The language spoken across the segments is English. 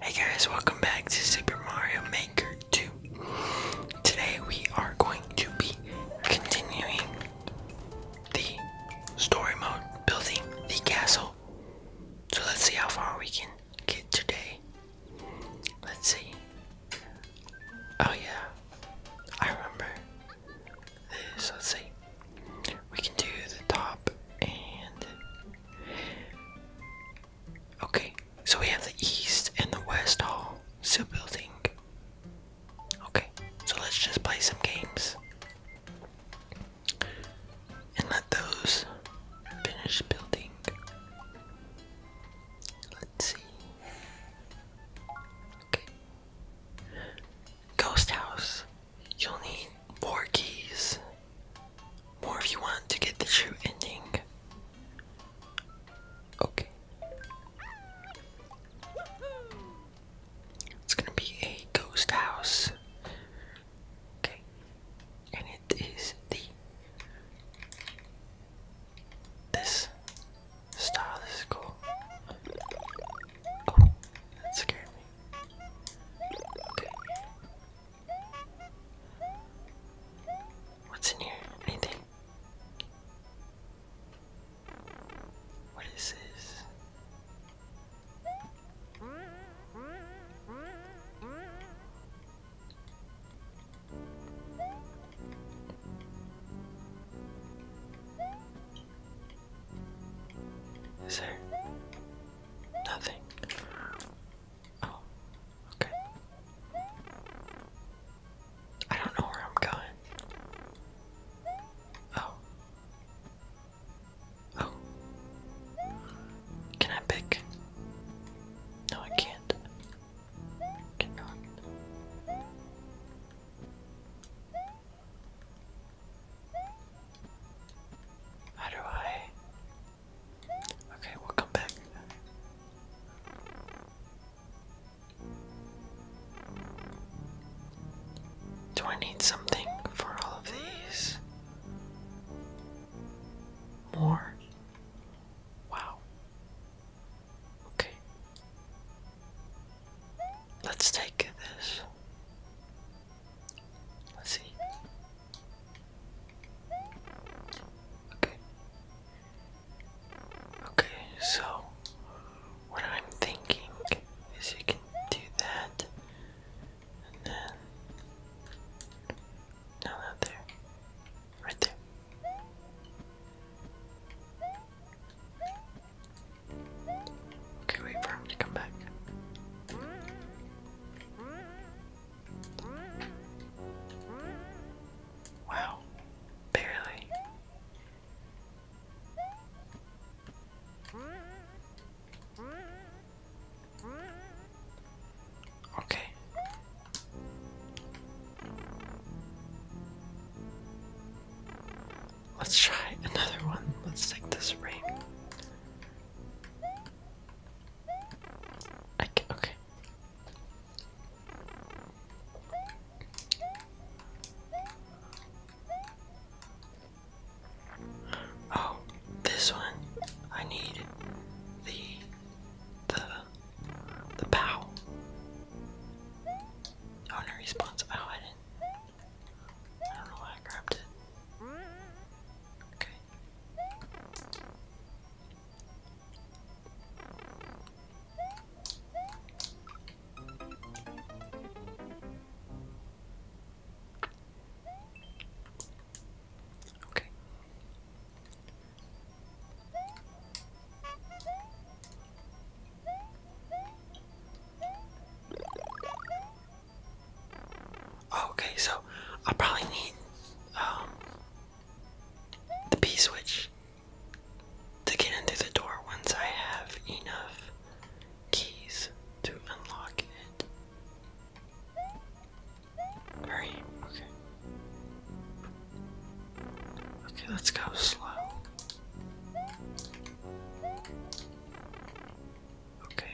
Hey guys, welcome back to Super Mario Maker 2. Today we are going to be continuing the story mode, building the castle. So let's see how far we can get today. Let's see. Oh yeah, I remember this. Let's see. We can do the top and Okay, so we have the East and the West Hall still building. Okay, so let's just play some games and let those finish building. Let's see. Okay. Ghost House. You'll need four keys. More if you want to get the true ending. Okay. It's gonna be a ghost house. Okay. And it is the this style, is cool. Oh, that scared me. Okay. What's in here? Anything? What is this? Is there Nothing. Oh, okay. I don't know where I'm going. Oh. Oh. Can I pick? No, I can't. Cannot. How do I? Okay, we'll come back. Do I need something for all of these? More? Wow. Okay. Let's take this. Let's see. Okay. Okay, so what I'm thinking is you can do that and then no not there. Right there. Okay, wait for him to come back. Wow, barely. Okay. Let's try another one. Let's take this ring. I can, okay. Oh, this one. I need the the the pow. Owner oh, response. Oh, I didn't. I don't know why I grabbed it. Okay. Okay. Okay, so I'll probably need um, the P switch to get in the door once I have enough keys to unlock it. Alright, okay. Okay, let's go slow. Okay.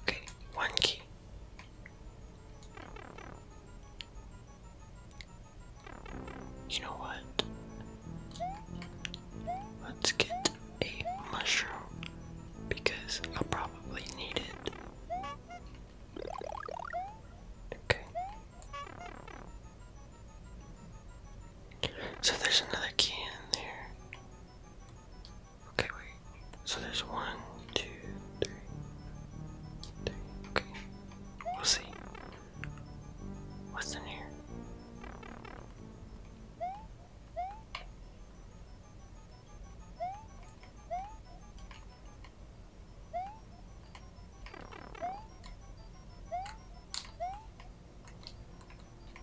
Okay, one key. You know what? Let's get a mushroom because I'll probably need it. Okay. So there's another key in there. Okay, wait. So there's one, two, Okay. We'll see. What's in here?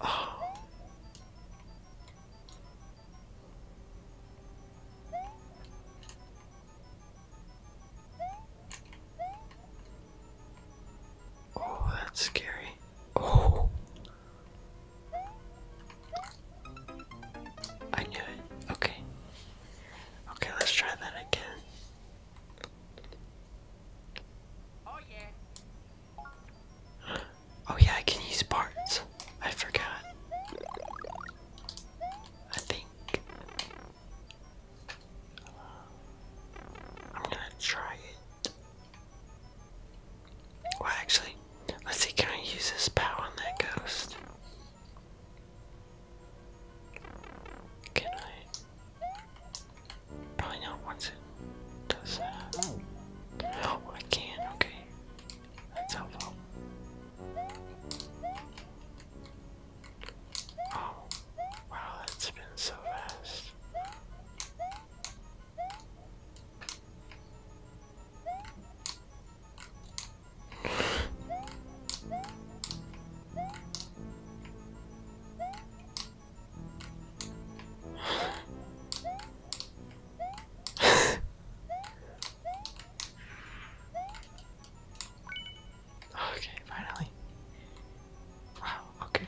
Oh. that's scary. Oh. I knew it. Okay. Okay, let's try that again. Oh yeah. Oh yeah, I can use parts. I forgot. I think I'm gonna try it. Well, actually, let's see. Can I use this power on that ghost? Can I? Probably not once it does that. Oh, I can, okay. That's helpful. Oh, wow, that's been so fast. okay, finally. Wow, okay.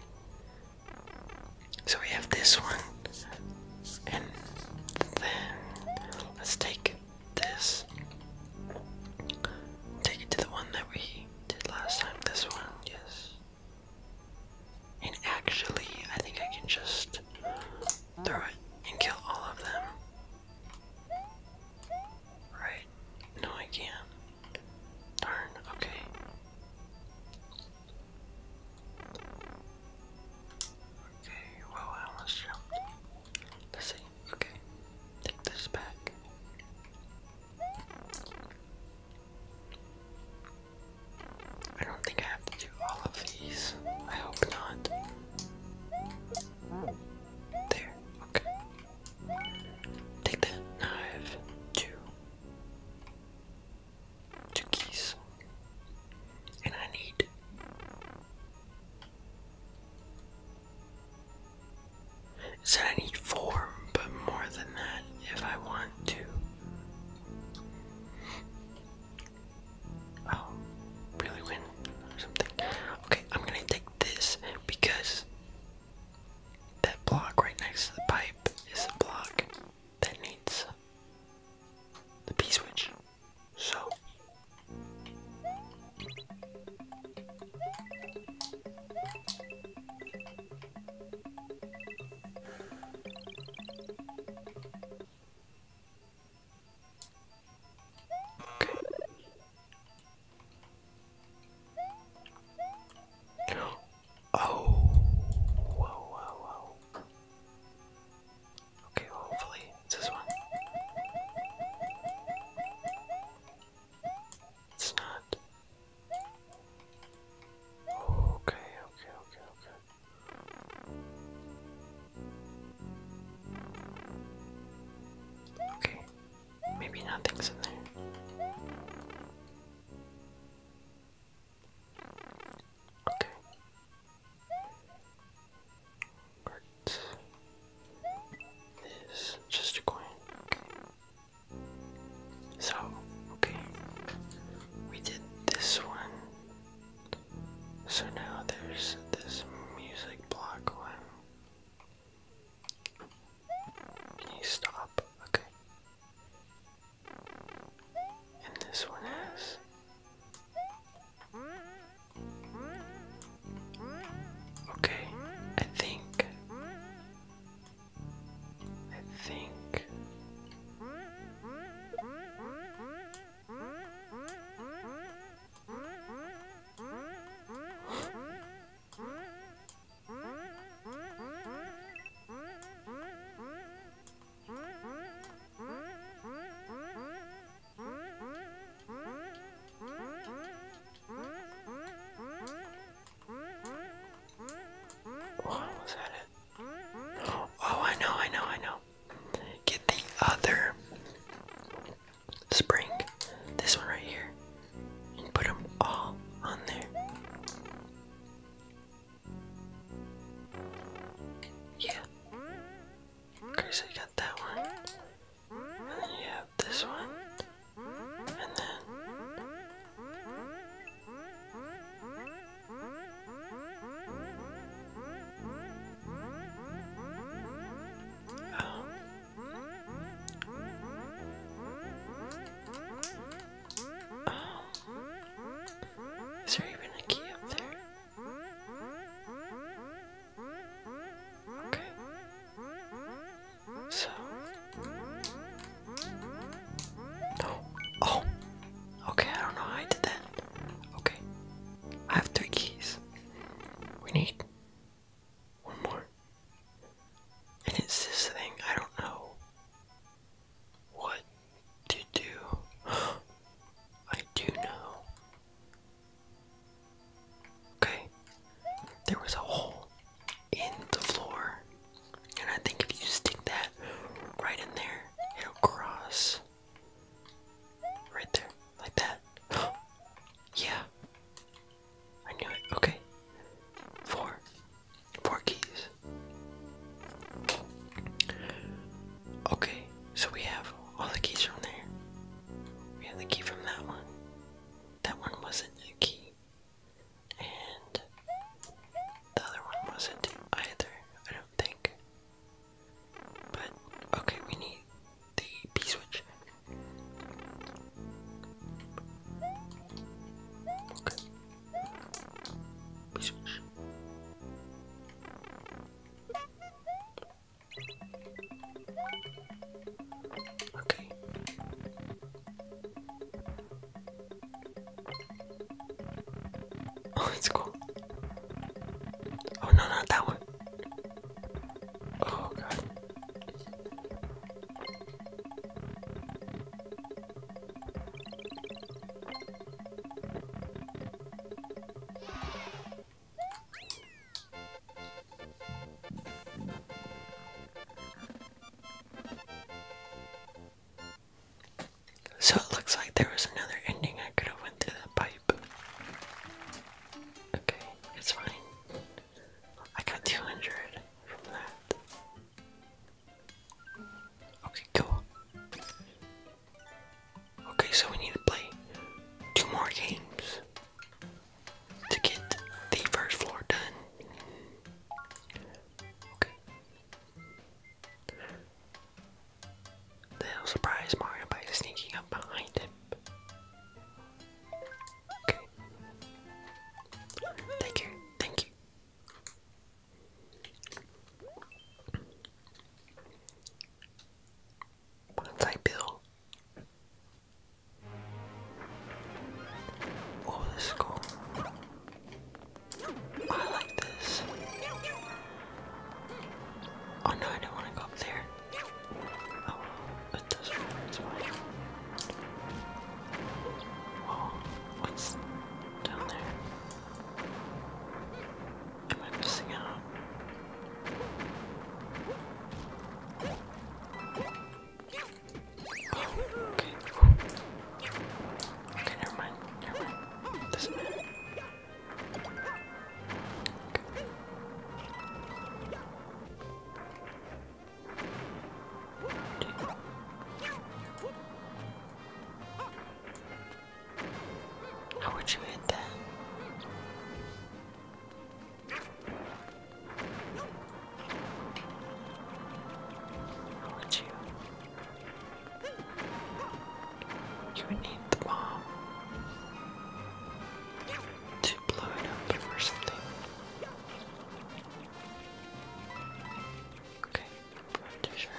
So we have this one, and then let's take this, take it to the one that we did last time. This one, yes. And actually, I think I can just throw it and kill all of them. Right? No, I can't. Darn, okay. Okay, well, I almost jumped. Let's see, okay. Take this back. I don't think I have to do all of these. I hope not. There, okay. Take that knife, two, two keys, and I need it's in any form, but more than that, if I want to. Oh, really win or something. Okay, I'm gonna take this because that block right next to the pipe is the block that needs the P switch. So Okay. Oh, whoa, whoa, whoa. Okay, hopefully this one. It's not. Okay, okay, okay, okay. Okay, maybe nothing's in there. Okay. Right. This just a coin. Okay. So, okay, we did this one. So now there's this music block one. Can you stop? Okay. And this one has. Okay, I think. I think. Oh, was that I know, I know, I know. Get the other spring, this one right here, and put them all on there. Yeah. Chris, I got that one. Yeah, this one. And then Oh. Oh. Is there even a key up there? Okay. So. No. Oh. Okay, I don't know how I did that. Okay. I have three keys. We need one more. And it's this thing. I don't know what to do. I do know. Okay, there was a hole in the floor, and I think if you stick that right in there, it'll cross right there, like that. yeah, I knew it. Okay, four, four keys. Okay, so we have all the keys from there. We have the key from that one that one wasn't a key, and the other one wasn't either, I don't think. But okay, we need the P switch. Okay. P switch. Okay. Oh, it's cool. Oh, no, not that one. Oh, God. So it looks like there was another ending I could have went through that pipe. Okay, it's fine. I got 200 from that. Okay, cool. Okay, so we need to play two more games to get the first floor done. Okay. They'll surprise Mario by sneaking up behind him. Okay. Thank you. Thank you. Once I build Oh, this is cool. I like this. Oh no, I don't want to go up there. Oh, it doesn't what's down there? Am I missing out? Oh, How would you hit that? Would you? You need the bomb to blow it up or something. Okay, I'm sure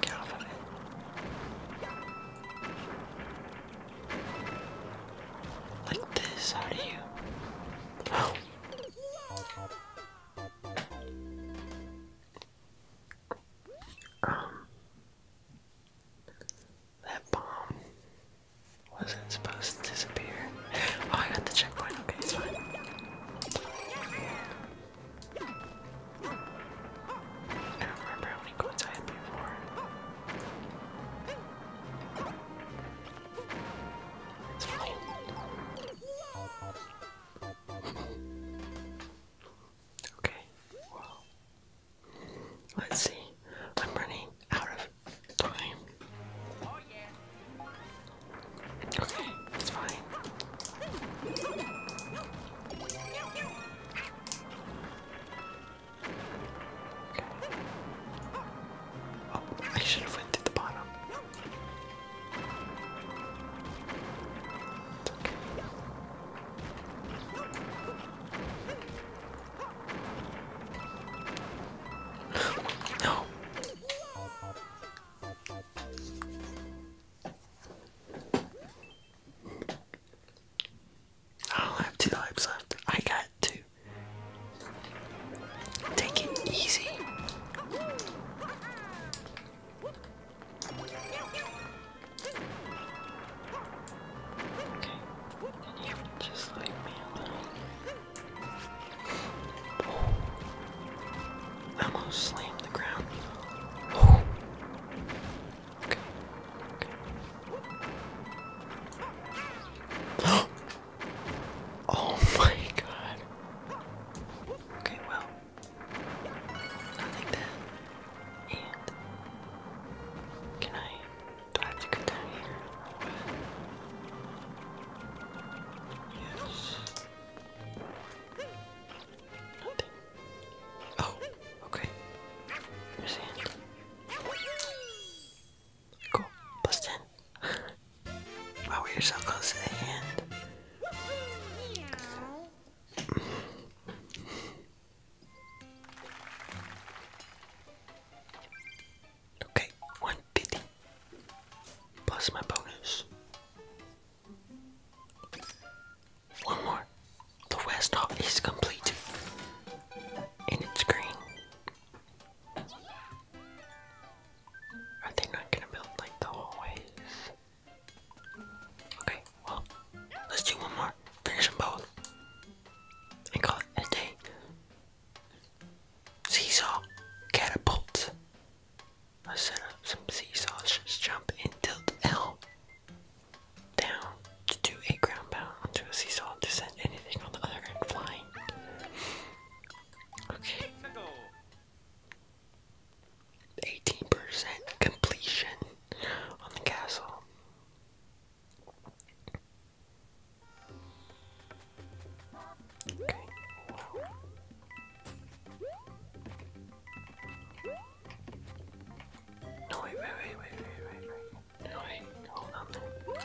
Get off of it. Like this, how do you? Oh. Um, that bomb wasn't supposed to disappear. Oh, I got the checkpoint. Okay, it's fine. I don't remember how many coins I had before. Okay, let's see. I'm running out of time. Okay, it's fine. Okay. Oh, I should have went to the bottom no. I don't have two lives left. I got two. Take it easy then just leave me Oh. almost slammed the ground. Oh. Okay. Okay. oh my god. Okay, well, like that. And can I do I have to here Yes. Nothing. Oh, okay. Cool. Plus ten. wow, we are close to the hand. Okay, 150 plus my bonus. One more. The west hall is complete. And it's green. Are they not gonna build like the hallways? Okay, well, let's do one more. Finish them both. And call it a day. Seesaw catapult. let set up some seesaws. Just jump and tilt L down to do a ground pound onto a seesaw to send anything on the other end flying. Okay. 18% completion on the castle. No, wait, wait, wait, wait, wait, wait, wait. No, wait, hold on there. Okay.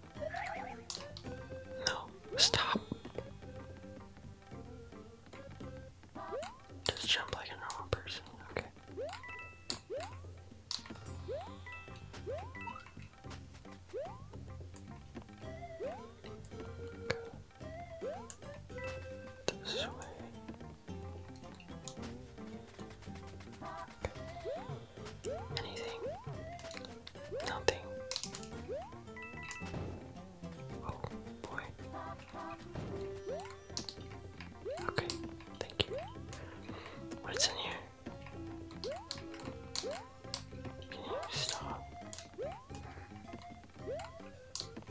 No, stop. Just jump like a normal person. Okay. This way. Anything? Nothing. Oh boy. Okay, thank you. What's in here? Can you stop?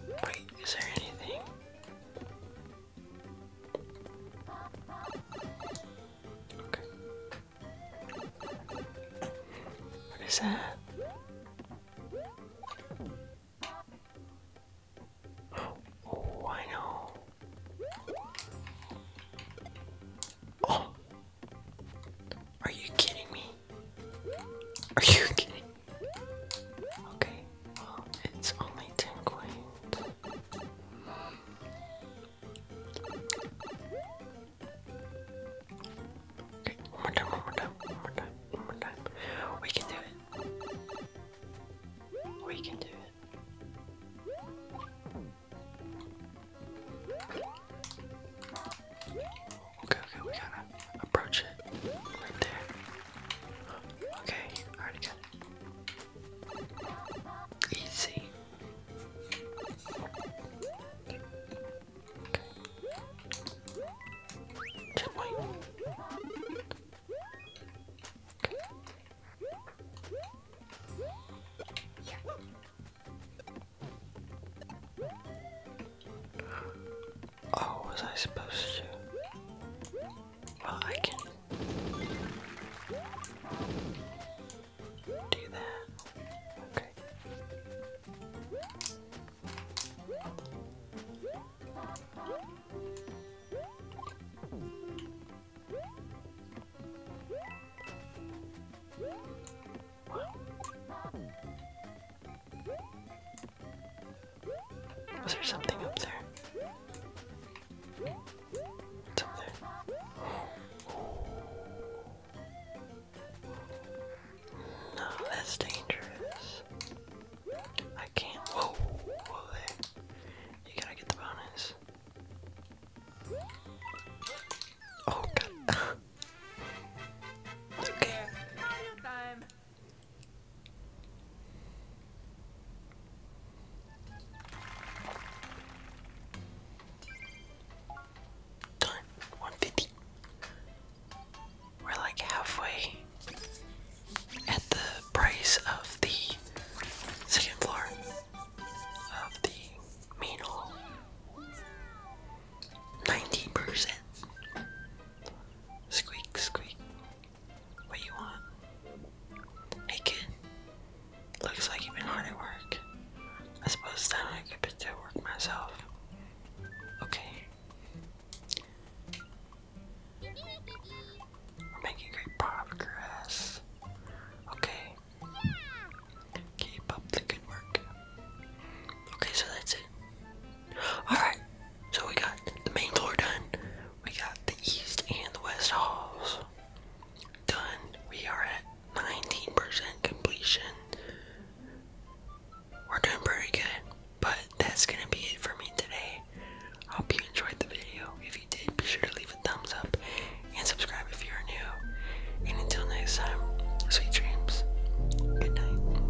Wait, is there anything? What is that? Oh, I know. Oh! Are you kidding me? Are you kidding? Okay, well, it's only 10 coins. Okay, one more time, one more time, one more time, one more time. We can do it. We can do it. Okay, okay, we gotta approach it right there. Okay, already got it. Easy can Oh, was I supposed to? Well, I can do that. Okay. Was there something up there? No, that's dangerous. I can't. Whoa, whoa there. You gotta get the bonus. Oh okay. Done. 150. We're like halfway at the price of the second floor of the main hall. 90%. Squeak, squeak. What do you want? Hey kid, looks like you've been hard at work. I suppose it's time I put to work myself. Okay. We're making great progress. Okay. Keep up the good work. Okay, so that's it. Alright, so we got the main floor done. We got the East and the West Halls done. We are at 19% completion. We're doing pretty good, but that's gonna be it for me today. hope you enjoyed the video. If you did, be sure to leave a thumbs up and subscribe if you are new. And until next time, sweet dreams. Good night.